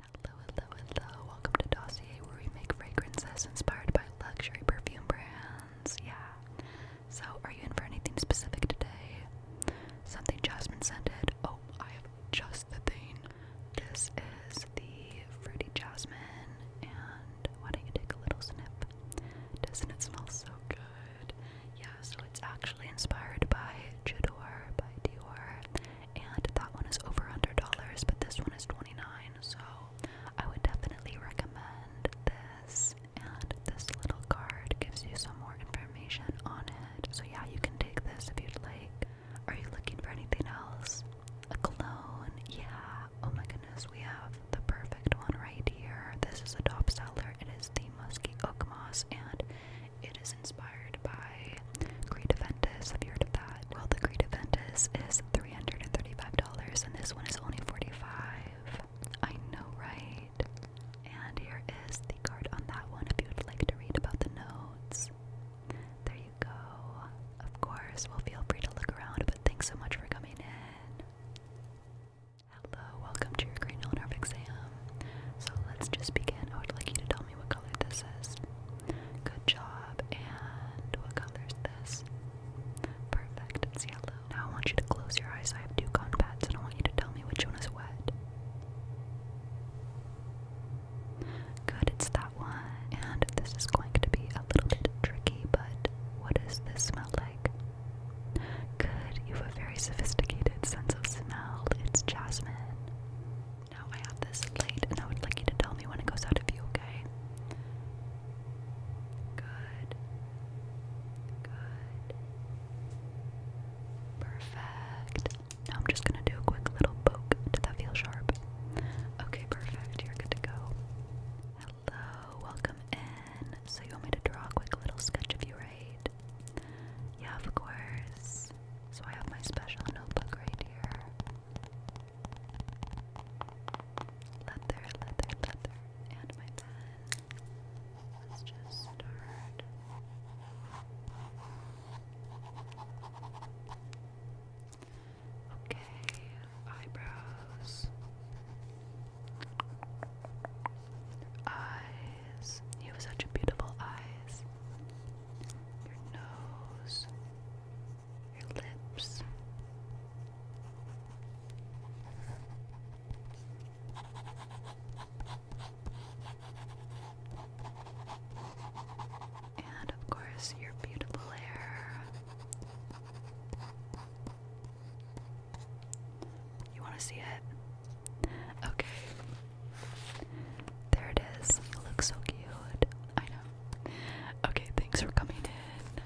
Hello, hello, hello. Welcome to Dossier, where we make fragrances inspired by luxury perfume brands. Yeah. So, are you in for anything specific today? Something jasmine scented? Oh, I have just the thing. This is the fruity jasmine, and why don't you take a little sniff? Doesn't it smell so good? Yeah, so it's actually inspired by Chidor by Dior and that one is over $100, but this one is $29, so I would definitely recommend this. And this little card gives you some more information on it. So, yeah, you can take this if you'd like. Are you looking for anything else? A clone? Yeah. Oh my goodness, we have the perfect one right here. This is a top seller. It is the Musky Oak Moss, and it is inspired by Creed Aventus. Have you heard of that? Well, the Great Aventus is $335 and this one is only $45. I know, right? And here is the card on that one if you would like to read about the notes. There you go. Of course, well, feel free to look around, but thanks so much for coming in. Hello, welcome to your green exam. So let's just begin. I would like you to tell me what color this is. Good job. And what color is this? Perfect. It's yellow. Now I want you to close your eyes. I have two cotton pads and I want you to tell me which one is wet. Good, it's that one. And this is going to be a little bit tricky, but what does this smell like? Good, you have a very sophisticated sense of smell. It's jasmine. Now I have this light, and I would like you to tell me when it goes out of view. okay? Good. Good. Perfect. Now I'm just gonna do a quick little poke. Did that feel sharp? Okay, perfect. You're good to go. Hello, welcome in. So you want me to draw a quick little sketch of you right yeah, of course. So I have my special notebook right here. Leather, leather, leather, and my pen. Let's just start. Okay, eyebrows. Eyes. You have such beautiful eyes. Your nose. Your lips. And of course, your beautiful hair. You want to see it? Okay. There it is. It looks so cute. I know. Okay, thanks for coming in.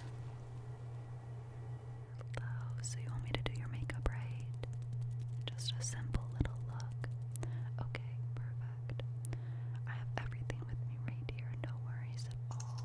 Hello. So you want me to do your makeup, right? Just a simple little look. Okay, perfect. I have everything with me right here. No worries at all.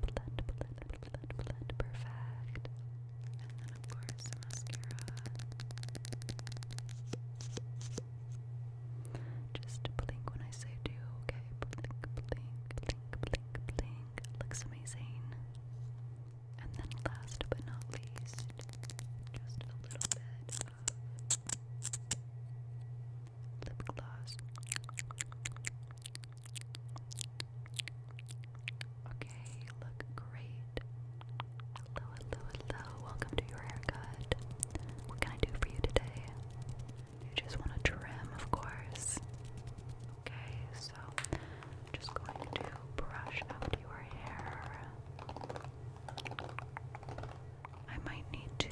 blend, blend, blend, blend, perfect. And then of course mascara. Just blink when I say do, okay? Blink, blink, blink, blink, blink. Looks amazing. And then last but not least, just a little bit lip gloss. Okay, look great. Hello, hello, hello. Welcome to your haircut. What can I do for you today? You just want a trim, of course. Okay, so I'm just going to brush out your hair. I might need to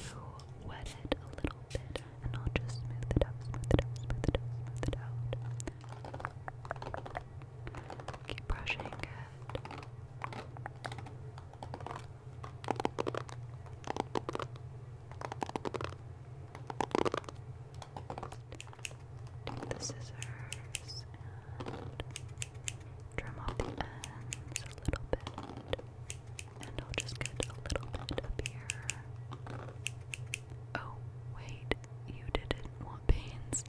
wet it a little bit and I'll just smooth it out, smooth it out, smooth it out, smooth it out. Keep brushing it. Take the scissors and trim off the ends a little bit. And I'll just get a little bit up here. Oh, wait, you didn't want pains.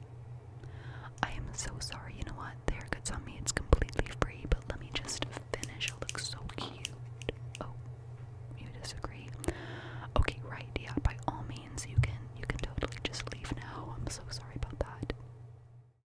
I am so sorry, you know what? There haircut's on me, it's completely free, but let me just finish. It looks so cute. Oh, you disagree? Okay, right, yeah, by all means you can you can totally just leave now. I'm so sorry about that.